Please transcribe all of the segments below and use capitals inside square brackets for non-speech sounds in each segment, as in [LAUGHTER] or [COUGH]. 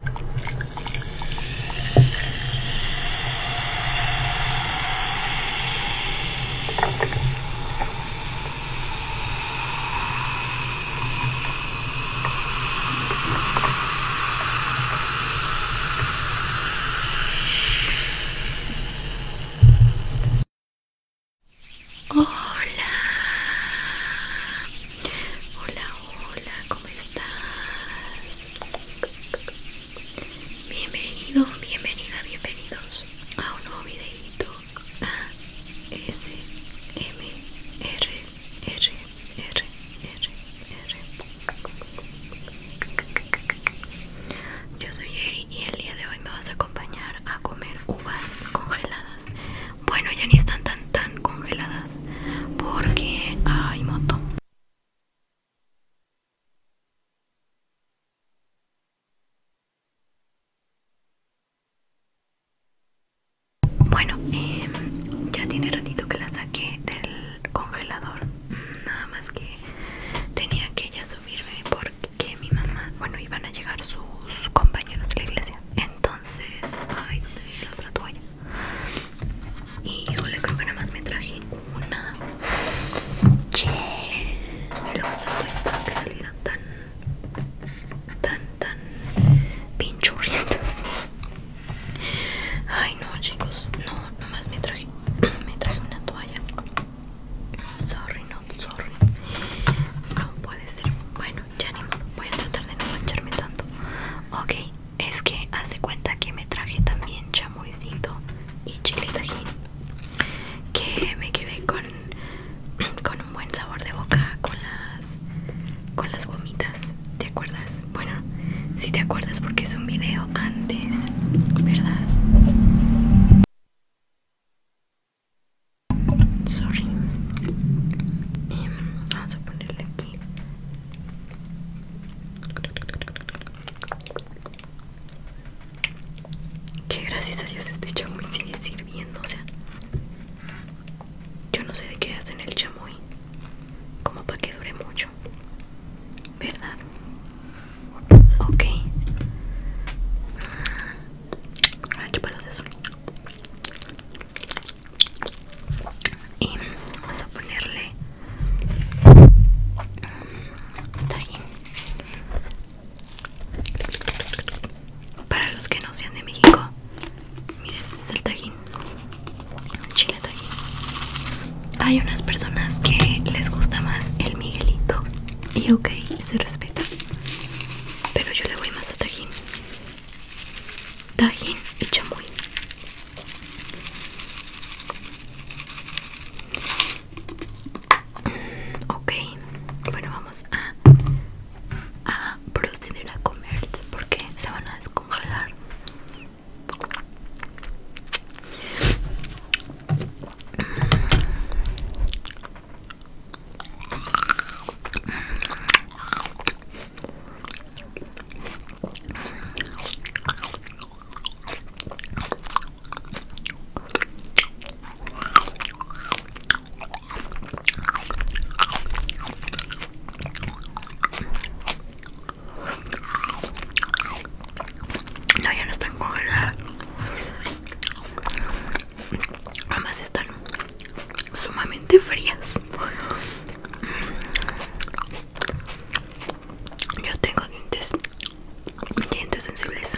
Hola, hola, hola, ¿cómo Bienvenidos, Bienvenido, bienvenida, bienvenidos a un nuevo videito A S M R R R R R Yo soy Eri y el día de hoy me vas a acompañar a comer uvas congeladas bueno, ya ni están tan tan congeladas porque hay moto. Bueno, em, ya tiene ratito que la saqué del congelador. Nada más que tenía que ya subirme porque mi mamá, bueno, iban a llegar sus compañeros de la iglesia. Entonces, ay, ¿dónde dije la otra toalla? Híjole, creo que nada más me traje una. Che. Y luego cuenta que salieron tan, tan, tan pinchurrientas. Ay, no, chicos. No, nada más me traje, [CLEARS THROAT] me traje una toalla. Sorry, no, sorry. No puede ser. Bueno, ya ni modo. Voy a tratar de no mancharme tanto. Ok, es que hace cuenta que me traje también distinto y chile tajin que me quedé con, con un buen sabor de boca con las con las gomitas ¿te acuerdas? bueno si te acuerdas porque es un video antes ¿verdad? sorry em, vamos a ponerle aquí que gracias a Dios este chamoy sigue sirviendo, o sea. Yo no sé de qué hacen el chamoy. Como para que dure mucho. ¿Verdad? Ok. Ah, y vamos a ponerle mm, tajín para los que no sean de México miren es el tajín chile tajín hay unas personas que les gusta más el miguelito y ok se respeta pero yo le voy más a tajín tajín y chamoy Ok, bueno, vamos a, a proceder a comer porque se van a descongelar. No, ya no están congeladas. Ambas están sumamente frías. Yo tengo dientes, dientes sensibles.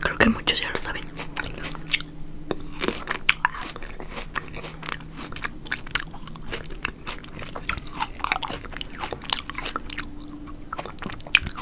Creo que muchos ya lo saben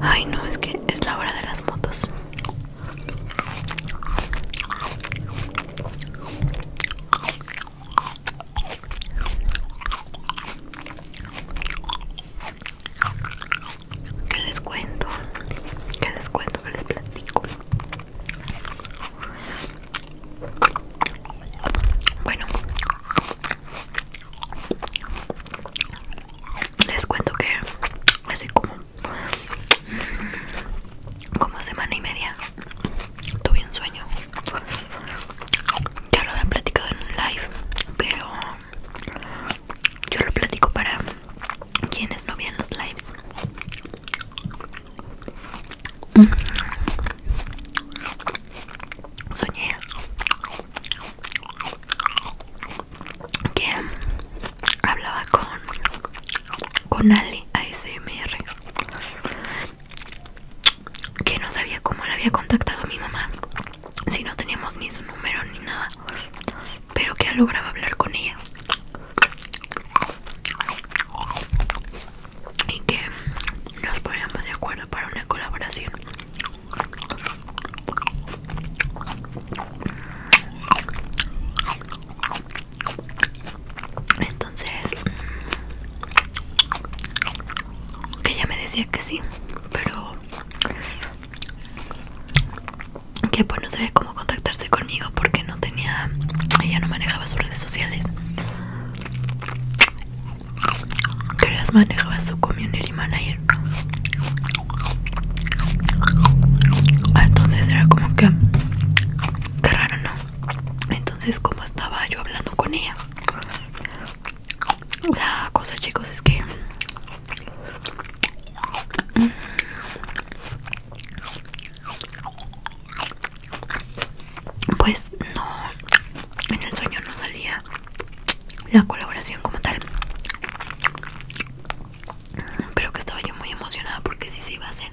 Ay, no, es que es la hora de las motos. ¿Qué les cuento? ¿Qué les cuento? ¿Qué les platico? Bueno, les cuento que hace como, como semana y media tuve un sueño. Ya lo había platicado en un live, pero yo lo platico para quienes no vean los lives. Soñé que hablaba con con Ali ASMR que no sabía cómo le había contactado a mi mamá, si no teníamos ni su número ni nada, pero que logrado hablar con ella y que nos poníamos de acuerdo para una colaboración. Entonces, mm, que ella me decía que sí, pero que pues no sabía cómo contactarse conmigo porque no tenía, ella no manejaba sus redes sociales, que las manejaba su community manager. Ah, entonces era como que, qué raro, ¿no? Entonces, como estaba yo hablando con ella, la cosa, chicos, es que pues no, en el sueño no salía la colaboración como tal. Pero que estaba yo muy emocionada porque sí se iba a hacer.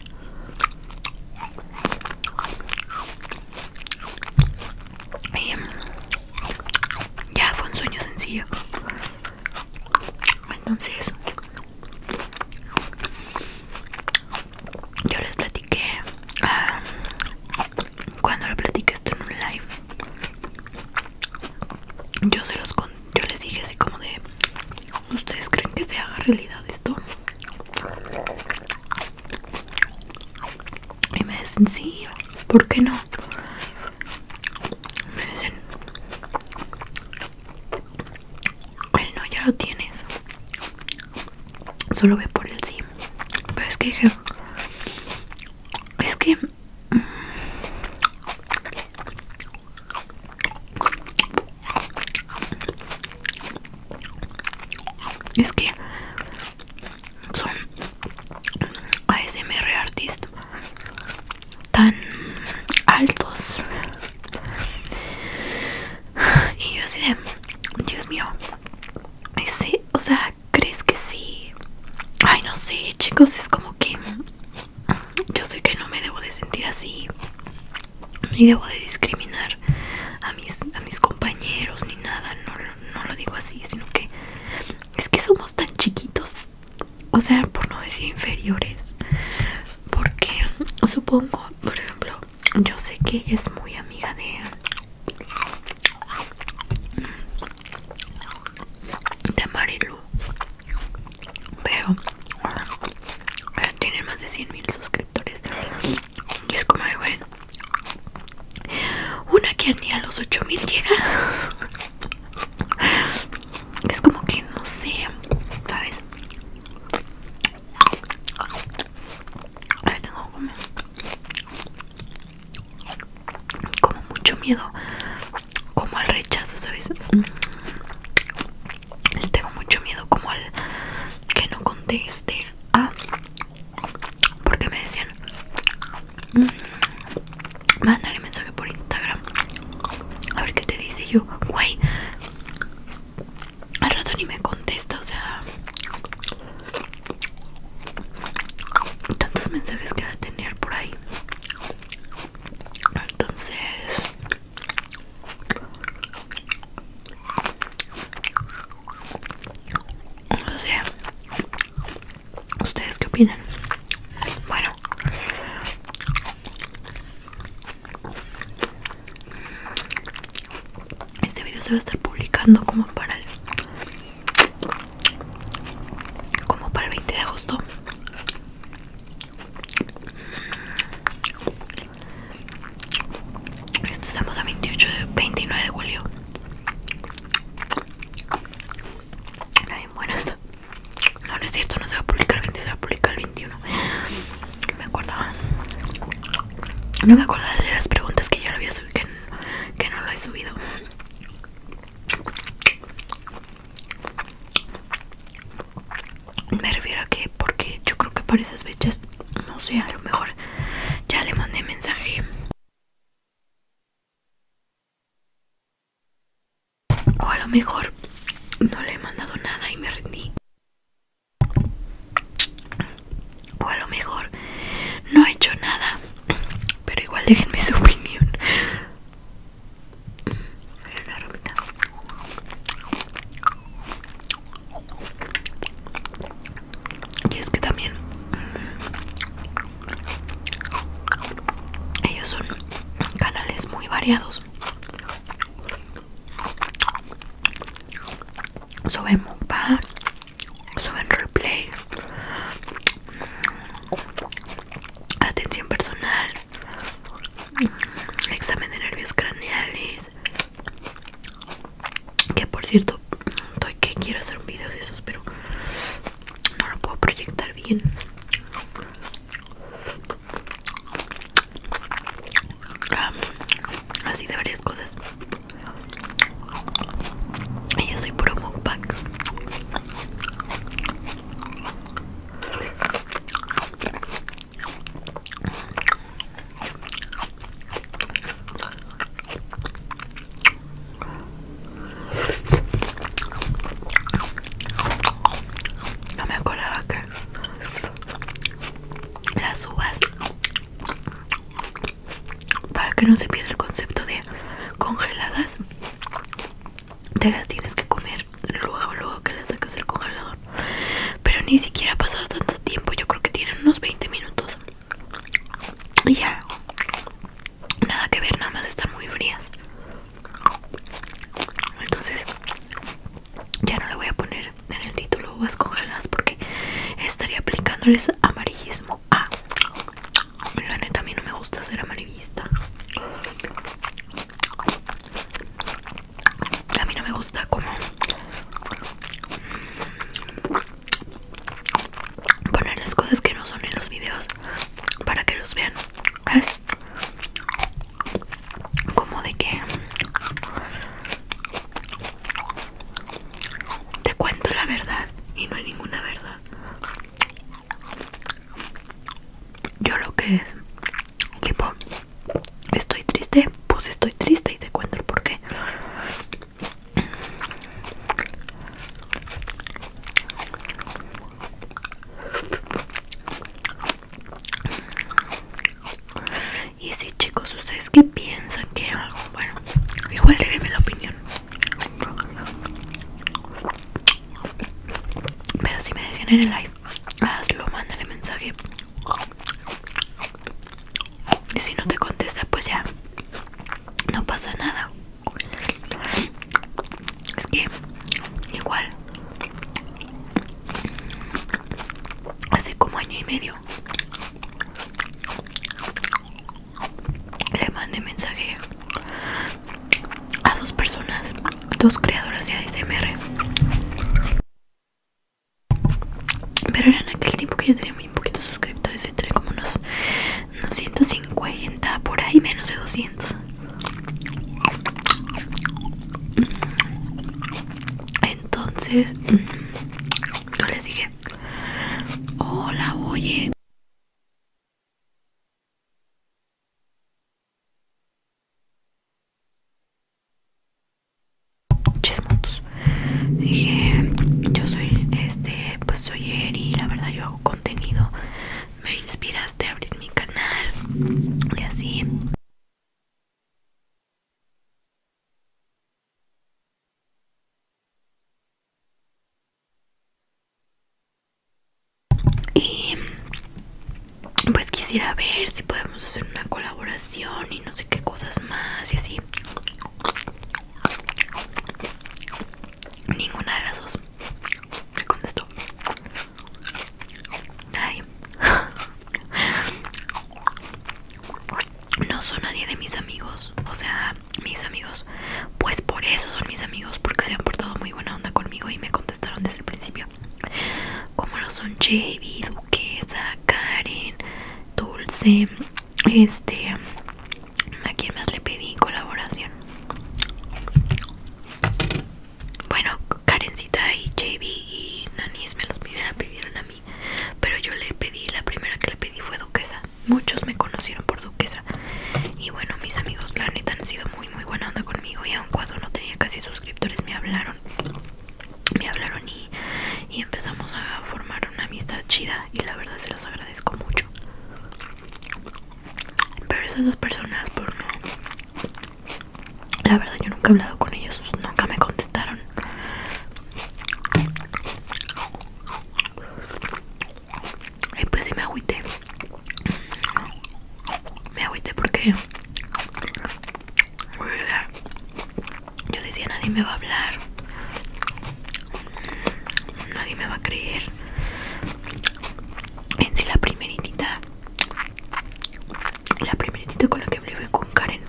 Y mm, ya fue un sueño sencillo. Entonces, yo les platiqué ah, cuando lo platiqué esto en un live. Yo se los yo les dije así como de, ¿ustedes creen que se haga realidad esto? Y me dicen, sí, ¿por qué no? Me dicen, no ya lo tienes. Solo ve por el sí. Pero es que es que... Mm, es que son ASMR artist tan altos. Y yo así de, Dios mío, o sea, ¿crees que sí? Ay, no sé, chicos, es como que yo sé que no me debo de sentir así ni debo de discriminar a mis, a mis compañeros ni nada, no, no lo digo así, sino que es que somos tan chiquitos, o sea, por no decir inferiores, porque supongo, por ejemplo, yo sé que ella es muy amiga de de Marilu pero tiene más de 100 mil suscriptores y es como bueno una que ni a los 8000 llega. Es como que no sé, ¿sabes? tengo como, como mucho miedo, como al rechazo, ¿sabes? Mm. Tengo mucho miedo como al que no conteste Ah, porque me decían, Mandarle mm, mándale mensaje por Instagram. A ver qué te dice yo, güey. Al rato ni me contesta, o sea, tantos mensajes que va a tener por ahí. Entonces, o sea, ¿Ustedes qué opinan? Bueno. Este video se va a estar publicando como para el como para el 20 de agosto este estamos a 28, 29 de julio. Bien, buenas. No, no es cierto, no se va a publicar el 20, se va a publicar el 21. No me acordaba. No me acordaba de las preguntas que yo lo había subido, que, que no lo he subido. Me refiero a que, porque yo creo que para esas fechas pues, no sé, a lo mejor ya le mandé mensaje. O a lo mejor no le he mandado nada y me rendí. O a lo mejor no he hecho nada. Pero igual déjenme su opinión. Y es que también mm, ellos son canales muy variados. Suben mukbang, suben replay, mm, atención personal, mm, examen de nervios craneales, que por cierto, estoy que quiero hacer un video de esos, pero no lo puedo proyectar bien. así de varias cosas. Y yo soy un pack no me acordaba que las uvas, para que no se pierda el concepto de congeladas, te las tienes que comer luego, luego que las sacas del congelador. Pero ni siquiera ha pasado tanto tiempo, yo creo que tienen unos 20 minutos y ya, nada que ver, nada más están muy frías. Entonces, ya no le voy a poner en el título uvas congeladas porque estaría aplicándoles amarillismo a. La neta, a mí no me gusta ser amarillista. A mí no me gusta como poner las cosas que no son en los videos para que los vean es como de que te cuento la verdad y no hay ninguna verdad yo lo que es tipo estoy triste pues estoy triste y te cuento el porqué y si chicos, ustedes que piensan que algo, bueno, igual déjenme la opinión. Pero si me decían en el live, hazlo, mándale mensaje. Y si no te contesta, pues ya no pasa nada. Es que igual hace como año y medio le mandé mensaje a dos personas, dos creadoras de ASMR. Pero era en aquel tiempo que yo tenía muy poquitos suscriptores, y tenía como unos 250 por ahí, menos de 200. Entonces, mm, yo les dije, hola, oye chismotos. Dije, yo soy este, pues soy Eri, la verdad yo hago contenido, me inspiraste a abrir mi canal y así. Y pues quisiera ver si podemos hacer una colaboración y no sé qué cosas más y así. Ninguna de las dos me contestó. Nadie No son nadie de mis amigos, o sea, mis amigos, pues por eso son mis amigos, porque se han portado muy buena onda conmigo y me contestaron desde el principio. Como lo son Chevy, Duquesa, Karen, Dulce, este, ¿a quién más le pedí colaboración? Bueno, Karencita y JB y Nanis me los pidieron a mí, pero yo le pedí, la primera que le pedí fue Duquesa. Muchos me conocieron por Duquesa. Y bueno, mis amigos Planet han sido muy, muy buena onda conmigo. Y aun cuando no tenía casi suscriptores, me hablaron me hablaron y, empezamos a formar una amistad chida y la verdad se los agradezco mucho pero esas dos personas por no la verdad yo nunca he hablado con ellos nunca me contestaron y pues sí me agüité me agüité porque pues, yo decía, nadie me va a hablar. Nadie me va a creer. En si la primeritita. La primeritita con la que hablé con Karen.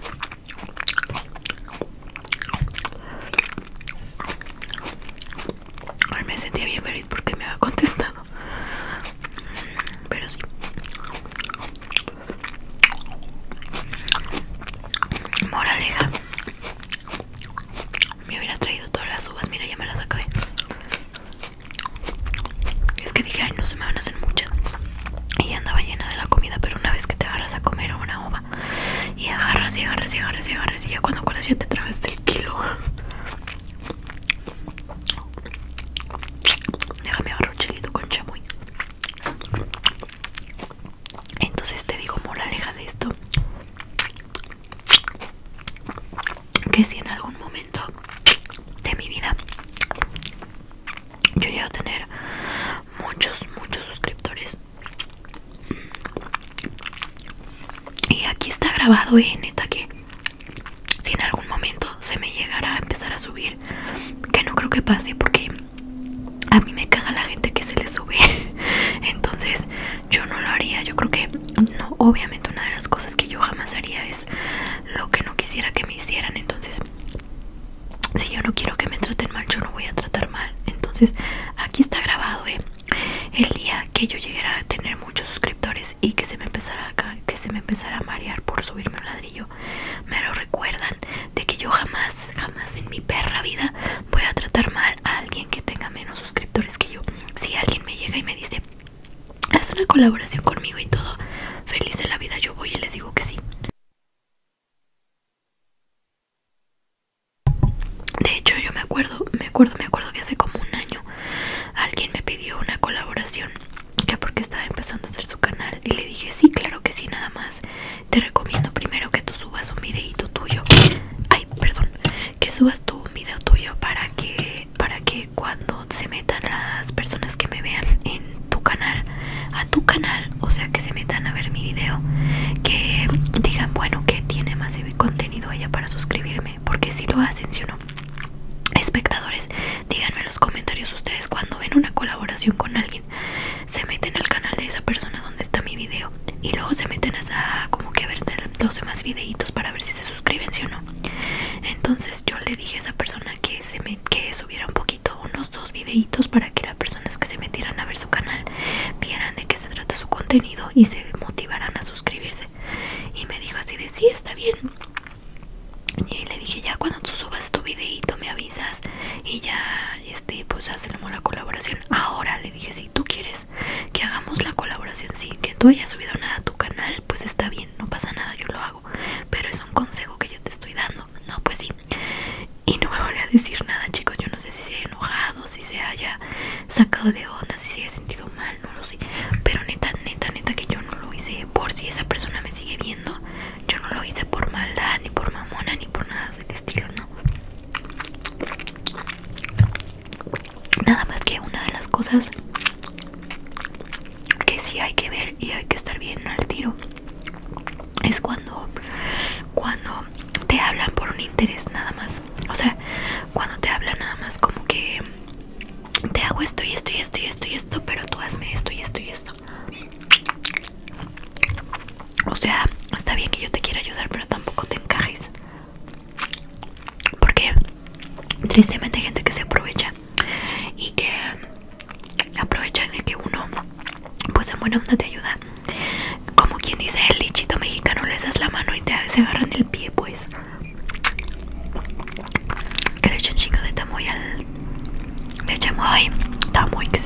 me sentía bien feliz porque me había contestado. Pero sí. Moraleja. Me hubiera traído todas las uvas, mira, ya me las acabé. Es que dije, ay, no se me van a hacer muchas. Y andaba llena de la comida, pero una vez que te agarras a comer una uva, y agarras y agarras y agarras y agarras, y ya cuando cuelas ya te traes el kilo. Déjame agarrar un chilito con chamuy entonces te digo aleja de esto que si en algún momento de mi vida yo llego a tener muchos muchos suscriptores y aquí está grabado en eh, neta que si en algún momento se me llegara a empezar a subir que no creo que pase porque a mí me caga la gente que se le sube. [LAUGHS] Entonces yo no lo haría. Yo creo que no, obviamente una de las cosas que yo jamás haría es lo que no quisiera que me hicieran. Entonces, si yo no quiero que me traten mal, yo no voy a tratar mal. Entonces, aquí está grabado, ¿eh? El día que yo llegara a tener muchos suscriptores y que se me empezara que se me empezara a marear por subirme un ladrillo, me lo recuerdan de que yo jamás, jamás en mi perra vida voy a tratar mal a alguien que tenga menos suscriptores que yo. Si alguien me llega y me dice, haz una colaboración conmigo y todo, feliz de la vida, yo voy y les digo que sí. De hecho, yo me acuerdo, me acuerdo, me acuerdo que hace como un año alguien me pidió una colaboración ya porque estaba empezando a hacer su canal y le dije sí, claro que sí, nada más te recomiendo primero que tú subas un videito tuyo ay perdón que subas tú un video tuyo para que para que cuando se metan las personas que me vean en tu canal a tu canal o sea que se metan a ver mi video que digan bueno que tiene más contenido ella para suscribirme porque si lo hacen si no espectadores díganme en los comentarios ustedes cuando ven una colaboración con alguien se meten al canal de esa persona donde está mi video y luego se meten a como que ver los demás videitos para ver si se suscriben si o no entonces yo le dije a esa persona que se que subiera un poquito unos dos videitos para que las personas que se metieran a ver su canal vieran de qué se trata su contenido y se motivaran a suscribirse y me dijo así de sí está bien y le dije ya cuando tú subas tu videito me avisas y ya y este pues hacemos la colaboración ahora le dije si tú quieres que hagamos la colaboración sí que tú hayas subido nada a tu canal pues está bien no pasa nada yo lo hago pero es un consejo que yo te estoy dando no pues sí y no me voy a decir nada chicos yo no sé si se haya enojado si se haya sacado de onda si se haya sentido mal no lo sé pero neta neta neta que yo no lo hice por si esa persona me sigue viendo yo no lo hice por maldad, ni por mamona, ni por nada del estilo, no. Nada más que una de las cosas que sí hay que ver y hay que estar bien al tiro es cuando cuando te hablan por un interés nada más o sea cuando te hablan nada más como que te hago esto y esto y esto y esto y esto pero tú hazme esto y esto y esto o sea, está bien que yo te quiera ayudar, pero tampoco te encajes. Porque tristemente hay gente que se aprovecha y que aprovechan de que uno, pues en buena onda te ayuda. Como quien dice el lichito mexicano, les das la mano y te agarran el pie, pues. Que le echan chingo de tamoy al. de chamoy, tamoix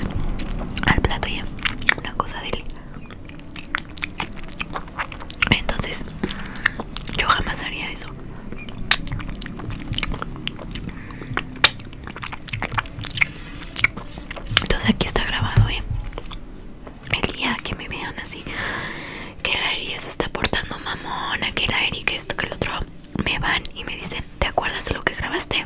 al plato ya una cosa de él. Entonces, yo jamás haría eso. Entonces aquí está grabado, ¿eh? El día que me vean así, que la herida se está portando mamona, que la Eri que esto, que el otro, me van y me dicen, ¿te acuerdas de lo que grabaste?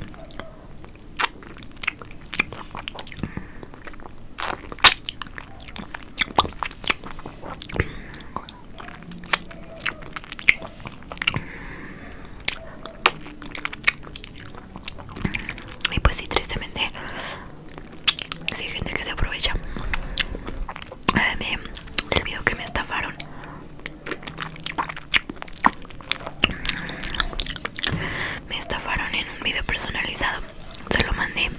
Y pues sí, tristemente, sí gente que se aprovecha. Eh, me que me estafaron. Me estafaron en un video personalizado. Se lo mandé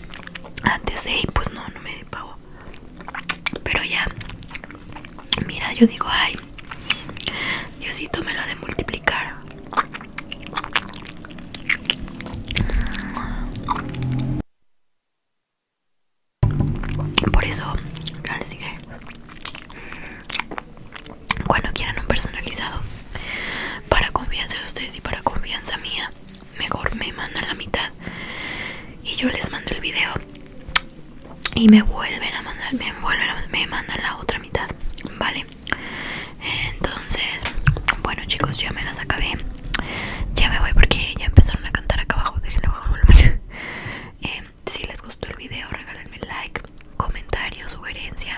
antes de y pues no, no me pagó. Pero ya, mira, yo digo, ay, Diosito me lo de multiplicar. Por eso, ya les dije. Cuando quieran un personalizado para confianza de ustedes y para confianza mía, mejor me mandan la mitad y yo les mando el video y me vuelven a mandar, me vuelven me mandan la otra mitad, vale. Entonces, bueno chicos, ya me las acabé. Ya me voy porque ya empezaron a cantar acá abajo. Déjenlo abajo [LAUGHS] eh, si les gustó el video, regálenme like comentario, sugerencia.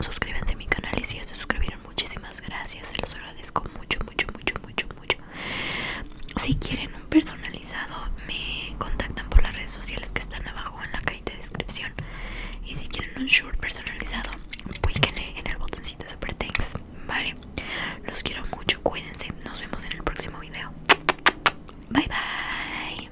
Suscríbanse a mi canal y si ya se suscribieron, muchísimas gracias. Se los agradezco mucho, mucho, mucho, mucho, mucho. Si quieren un personalizado, me contactan por las redes sociales que están abajo en la cajita de descripción. Y si quieren un short personalizado, píquenle en el botoncito Super Thanks. Vale, los quiero mucho. Cuídense. Nos vemos en el próximo video. Bye bye.